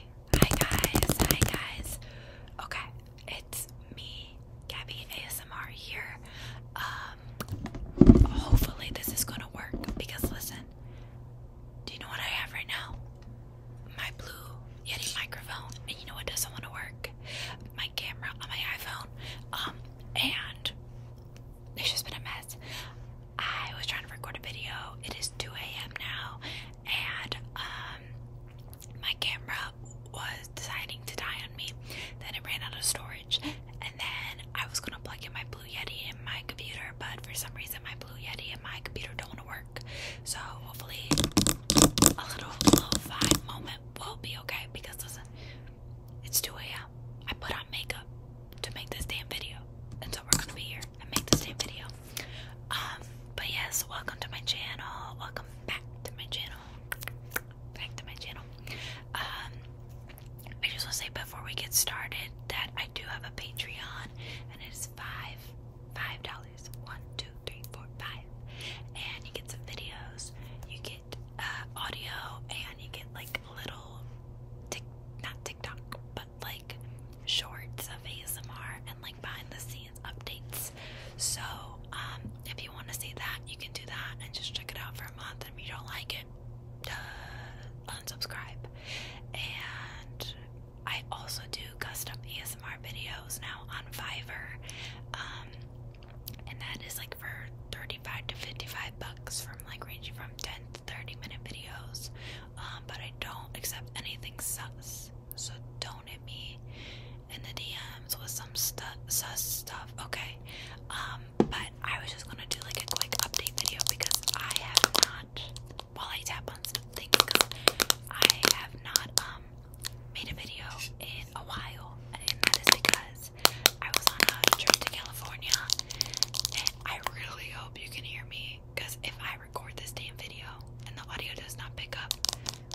Hi guys, hi guys. Okay, it's me, Gabby ASMR here. Um, hopefully this is gonna work because listen, do you know what I have right now? My blue Yeti microphone, and you know what doesn't want to work? My camera on my iPhone. Um, and it's just been a mess. I was trying to record a video. It is 2 a.m. now, and um, my camera was deciding to die on me. Then it ran out of storage, and then I was gonna plug in my Blue Yeti in my computer, but for some reason my Blue Yeti and my computer don't wanna work. So hopefully a little lo-fi moment will be okay because listen, it's 2 a.m. I put on makeup to make this damn video, and so we're gonna be here and make this damn video. Um, but yes, welcome to my channel. Welcome back to my channel. Back to my channel. Um, I just want to say before we get started that I do have a Patreon, and it is five, five dollars. One, two, three, four, five, and you get some videos. You get uh, audio, and you get like little, tick, not TikTok, but like shorts of ASMR and like behind the scenes updates. So, um, if you want to see that, you can do that and just check it out for a month. And if you don't like it, unsubscribe. And I also do custom ASMR videos now on Fiverr. Um, and that is like for 35 to 55 bucks from like ranging from 10 to 30 minute videos um, but I don't accept anything sus. So don't hit me in the DMs with some stu sus stuff, okay? Um, but I was just gonna do like a quick update video because I have not, while I tap on something, because I have not um made a video in a while, and that is because I was on a trip to California, I really hope you can hear me because if I record this damn video and the audio does not pick up,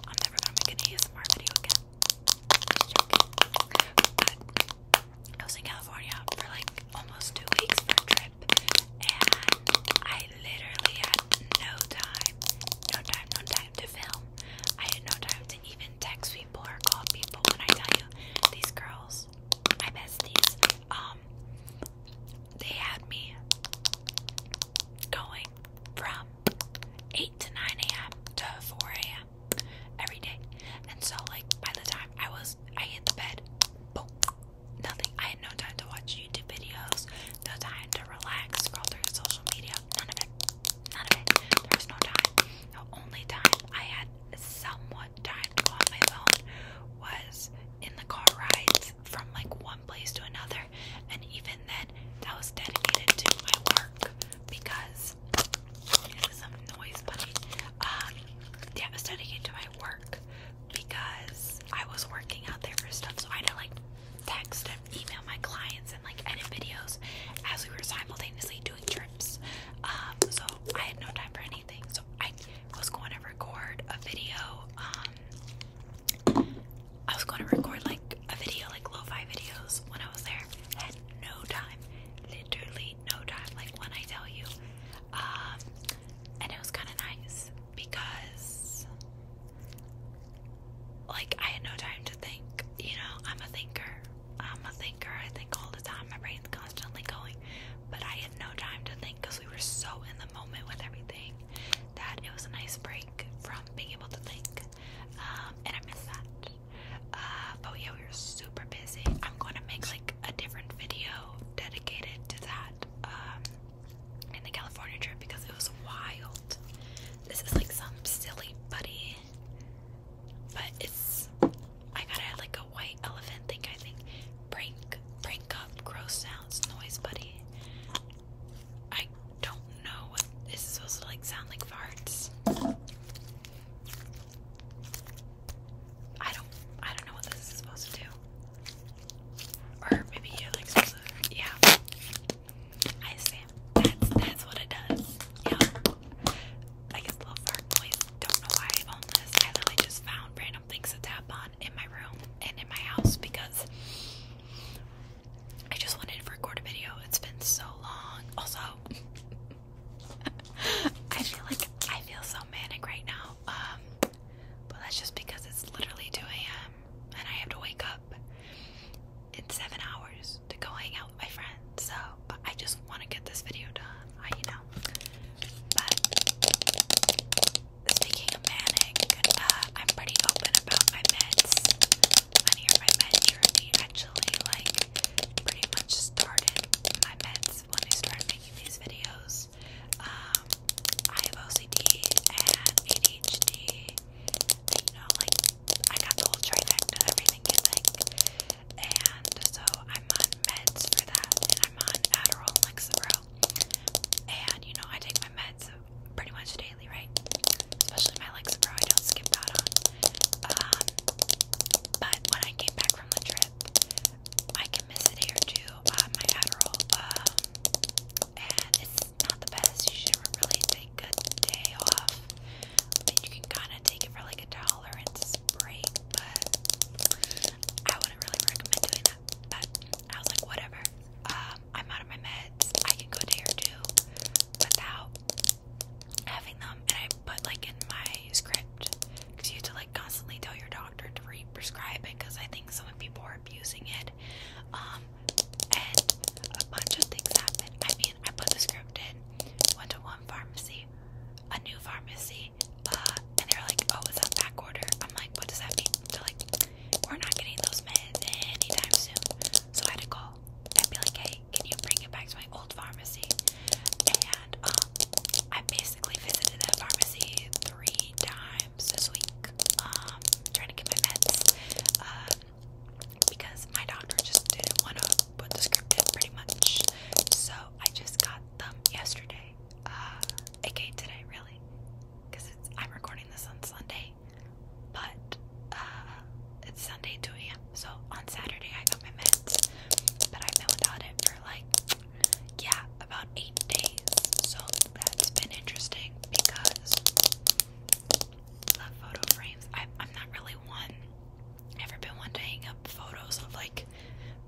I'm never gonna make an ASMR video again. I was in California for like almost two weeks for a trip, and I literally had no time, no time, no time to film. I had no time to even text people or call people. When I tell you, these girls my besties, um, they had me going from 8 to 9 a.m. to 4 a.m. every day. And so, like, by the time I was, I hit the bed, boom, nothing. I had no time to watch YouTube videos, no time to relax, scroll through social media, none of it. None of it. There was no time. The only time I had somewhat timed on my phone was in the car rides from like one place to another, and even then, that was dedicated to my work because some noise, buddy. Um, yeah, was dedicated to my work because I was working out there for stuff, so I had to like text and email my clients and like edit videos as we were simultaneously doing trips. Um, so I had no time for so I was going to record a video. Um, I was going to record like a video, like lo-fi videos, when I was there. had no time, literally no time. Like when I tell you, um, and it was kind of nice because, like, I had no time to think. You know, I'm a thinker. I'm a thinker. I think all the time. My brain's constantly going. But I had no time to think because we were so in the moment with everything that it was a nice break from being able to think. Um, and I miss that. Uh, but yeah, we were super busy. I'm going to make like a different video dedicated to that um, in the California trip because it was wild. This is like some silly buddy but it's I gotta add like a white elephant thing, I think. Prank prank up gross sounds noise buddy. I don't know this is supposed to like sound like farts. I don't I don't know what this is supposed to do. Or maybe you like yeah. I see. that's what it does. Yeah. I guess little fart noise. Don't know why I own this. I literally just found random things to tap on in my room and in my house because I just wanted to record a video. It's been so long. Also, I feel like I feel so manic right now. Um, but that's just because it's literally 2 a.m. and I have to wake up in seven hours to go hang out with my friends. So but I just want to get this video done. you know, speaking of manic, uh, I'm pretty open about my meds. I'm here my med journey actually, like, pretty much started my meds when I started making these videos. Um, I have OCD and ADHD. You know, like I got the whole trifecta, everything you like. And so I'm on meds for that, and I'm on Adderall and Lexapro. And you know, I take my meds pretty much daily, right? Especially my Lexapro, I don't skip that on. Um, but when I came back from the trip, I can miss a day or two on my Adderall. Um, and it's not the best. You should really take a day off and you can kind of take it for like a dollar and spray, but I wouldn't really recommend doing that. But I was like, whatever. Um, I'm out of my meds. I can go a day or two without having them. And I put like in my script because you have to like constantly tell your doctor to re-prescribe it because I think some people are abusing it. Um, and a bunch of things happen. I I put the script in, went to one pharmacy, a new pharmacy, uh, and they are like, oh, it's on back order. I'm like, what does that mean? They're like, we're not getting those meds anytime soon. So I had to call and be like, hey, can you bring it back to my old pharmacy? And um, I basically visited that pharmacy three times this week, um, trying to get my meds. Uh, because my doctor just didn't want to put the script in pretty much. So I just got them yesterday. Uh, aka today, really. Because it's I'm recording this on Sunday. But uh, it's Sunday 2 a.m. So on Saturday, I got my meds. But I've been without it for like, yeah, about eight days. So that's been interesting because Love photo frames. I, I'm not really one. Never been one to hang up photos of like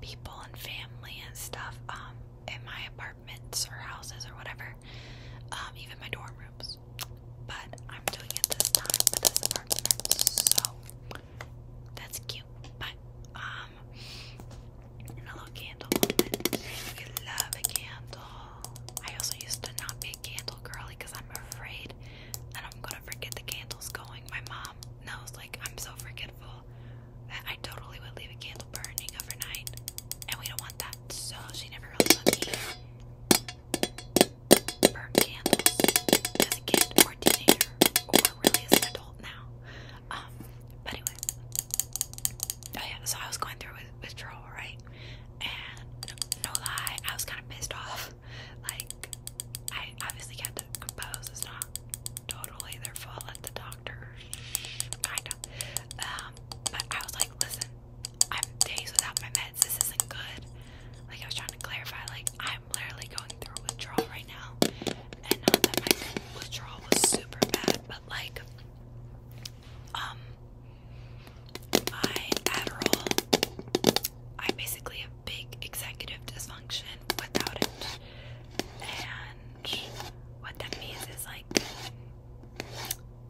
people and family and stuff. Um, in my apartments or houses or whatever. Um, even my dorm rooms. But I'm doing it this time with this apartment. So that's cute. But um, and a little candle. love a candle. I also used to not be a candle girly because I'm afraid that I'm gonna forget the candles going. My mom knows, like, I'm so forgetful that I totally would leave a candle burning overnight, and we don't want that, so she never really let me burn candles as a kid or a teenager or really as an adult now. Um, but anyway, oh yeah, so I was going through withdrawal, right? and no lie, I was kind of pissed off. Like, I obviously had to compose. It's not totally their fault at the doctor, kind of. Um, but I was like, listen, I'm days without my meds. This isn't good. Like, I was trying to clarify. Like, I'm literally going through withdrawal right now, and not that my withdrawal was super bad, but like, um, my Adderall. I'm basically a big executive dysfunction without it. And what that means is like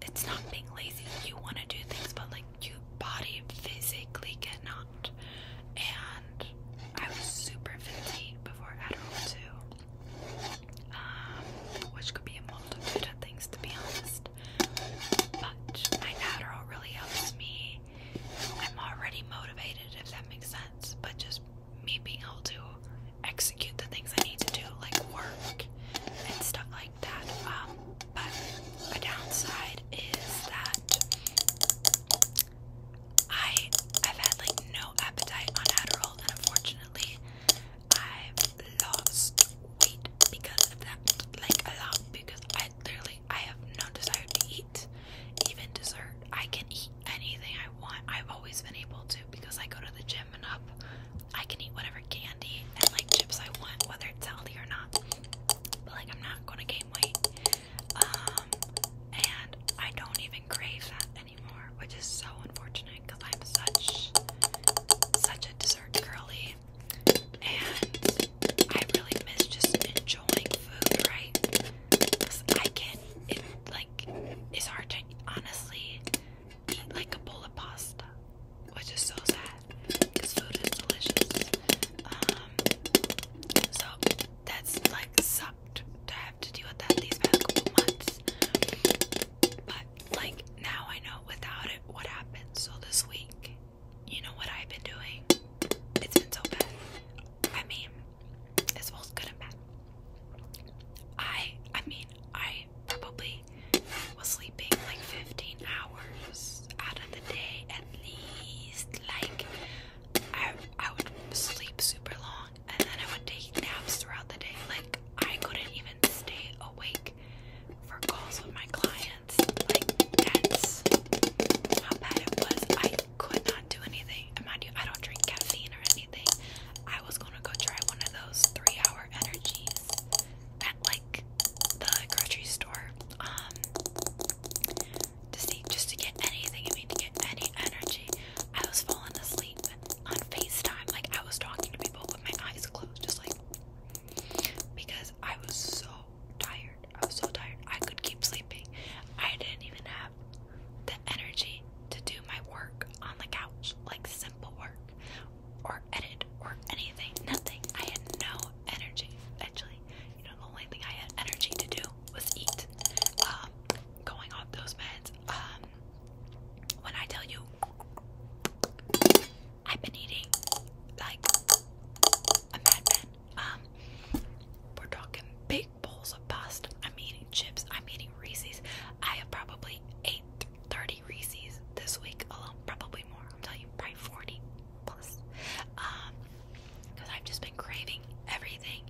it's not being lazy. You want to do things, but like your body physically cannot. And I was super fatigued before Adderall too, um, which could be a multitude of things to be honest my Adderall really helps me. I'm already motivated, if that makes sense. But just me being able to execute the things I need to do, like work and stuff like that. Um, but a downside is that I have had like no appetite on Adderall, and unfortunately, I've lost weight because of that, like a lot. Because I clearly I have no desire to eat, even dessert. I can eat anything I want. I've always been able to because I go to the gym and I can eat whatever candy and like chips I want, whether it's healthy or not. But like I'm not gonna gain weight. Um, and I don't even crave that anymore which is so unfortunate because I'm such such a dessert girly, and I really miss just enjoying food, right? Because I can, it like it's hard to honestly eat like a bowl of pasta, which is so sad because food is delicious. Um, so that's like sucked to have to deal with that these past months. But like now I know without it what happened. So this week, you know what I've been doing? It's been so bad. I mean, it's both good and bad. I I mean, I probably was sleeping like 15 hours out of the day at least. Like I I would sleep super long and then I would take naps throughout the day. Like I couldn't even stay awake for calls with my clients. Like that's how bad it was. I could not do anything. mind you, I don't drink caffeine or anything. I was gonna go try one of those three-hour energies at like the grocery store. Um to see just to get anything, I mean to get any energy. I was falling asleep on FaceTime. Like I was talking to people with my eyes closed, just like because I was so tired. I was so tired. I could keep sleeping. I didn't even have the energy to do my work on the couch, like simple work or edit or anything. Nothing. I had no energy. Actually, you know, the only thing I had energy to do was eat. Um, going off those meds, um, when I tell you, I've been eating like a madman. Um, we're talking big bowls of pasta. I'm eating chips. I'm eating Reese's. I have probably ate 30 Reese's this week alone. Probably more. I'm telling you, probably 40 plus. Um, because I've just been craving everything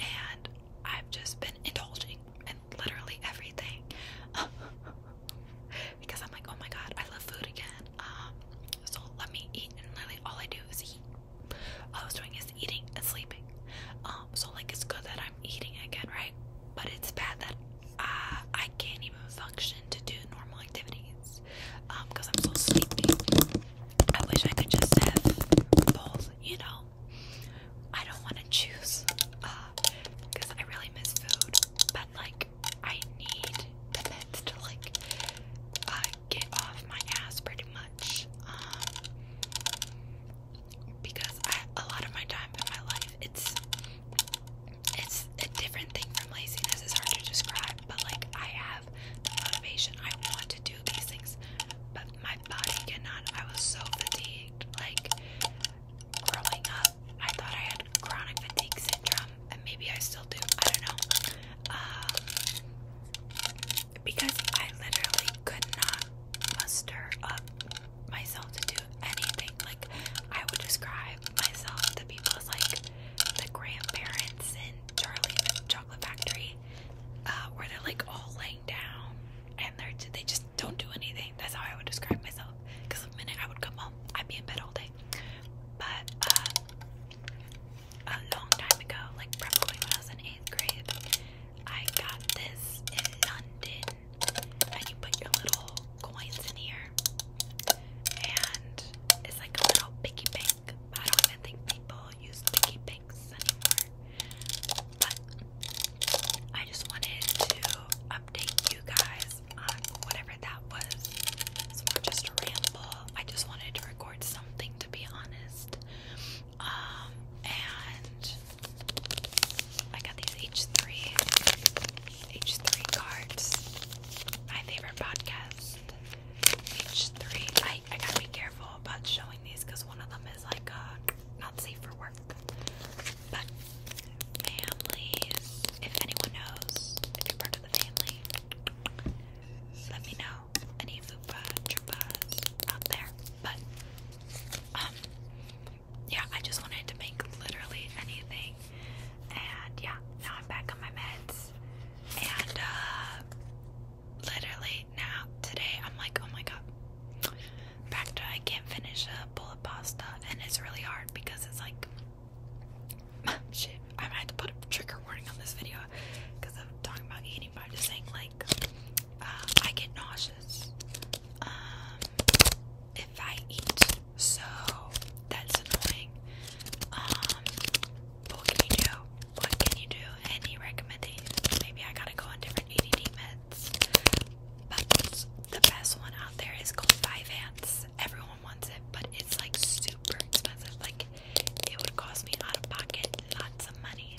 and I've just been indulging in literally everything because I'm like, oh my god, I love food again. Um, so let me eat, and literally all I do is eat. All I was doing is eating and sleeping. Um, so like it's good that I'm eating again, right? But it's bad that uh, I can't even function to do normal activities because um, I'm so sleepy. I wish I could just have both, you know. I don't want to choose because uh, I really miss food, but like I need the meds to like uh, get off my ass pretty much. Um, because I, a lot of my time in my life, it's it's a different thing from laziness. It's hard to describe, but like I have the motivation. I want to these things, but my body cannot. I was so fatigued. Like growing up, I thought I had chronic fatigue syndrome, and maybe I still do. I don't know. Um, because I literally could not muster up myself to do anything. Like I would describe myself to people as like the grandparents in Charlie and the Chocolate Factory, uh, where they're like all like down and they just don't do anything. That's how I would describe myself. Because the minute I would come home, I'd be in bed all day. But uh, a long time ago, like probably when I was in eighth grade, I got this in London, and you put your little coins in here, and it's like a little piggy bank. I don't even think people use sticky pinks anymore. But I just wanted to update you guys on whatever that was. just a ramble. I just wanted to record something to be honest. Um and I got these H3 H3 cards. My favorite podcasts. H three. I gotta be careful about showing these because one of them is like uh, not safe for work. But families, if anyone knows, if you part of the family, let me know. Any fupa out there. But um, yeah, I just wanted to make literally anything. And yeah, now I'm back on my meds. And uh literally now today I'm like, oh my god, back I can't finish a bowl of pasta, and it's really hard because it's like shit. I might to put a trigger warning on this video because I'm talking about eating, but I'm just saying like uh, I get nauseous um, if I eat, so that's annoying. Um, what can you do? What can you do? Any recommendations? Maybe I gotta go on different E D meds. But the best one out there is called Five Vyvanse. Everyone wants it, but it's like super expensive. Like it would cost me out of pocket lots of money.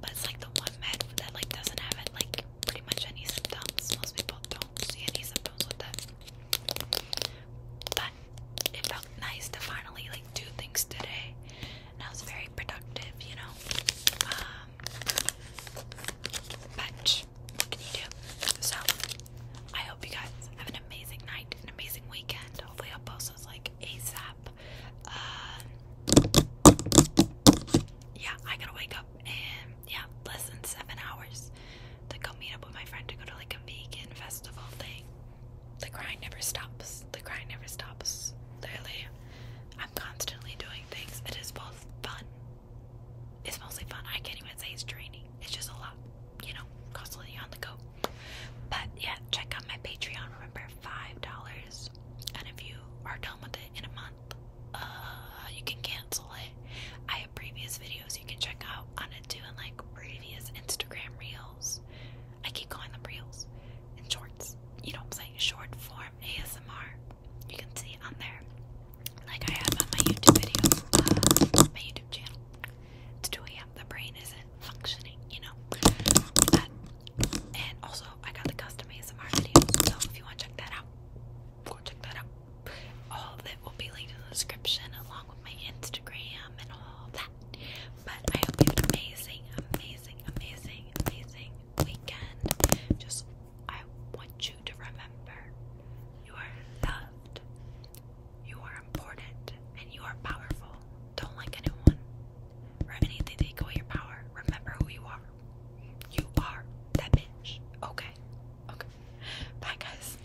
But it's like the one med that like doesn't have like pretty much any symptoms. Most people don't see any symptoms with that. But it felt nice to finally like do things today, and I was very productive, you know. Um, but what can you do? So I hope you guys have an amazing night, an amazing weekend. Hopefully, i post those like ASAP. Uh, yeah, I gotta wake up and yeah, less than seven hours to go meet up with my friend to go to like a vegan festival thing the crying never stops. The crying never stops. Literally, I'm constantly doing things. It is both fun. It's mostly fun. I can't even say it's draining. It's just a lot, you know, constantly on the go. But yeah, check out my Patreon. Remember, five dollars, and if you are done with it in a month, uh, you can cancel it. I have previous videos you can check out on it doing like previous Instagram reels I keep calling them reels and shorts. You know I'm saying? Short form ASMR. You can see on there. Like I have on my YouTube video, uh, my YouTube channel. It's 2 a.m. The brain isn't functioning, you know? and also, I got the custom ASMR videos, so if you want to check that out, go check that out. All of it will be linked in the description along with my Instagram and all that. But I hope you have an amazing, amazing, amazing, amazing weekend. Just, I want you to remember you are loved, you are important, and you are powerful. Don't like anyone or anything to equal your power. Remember who you are. You are that bitch. Okay. Okay. Bye, guys.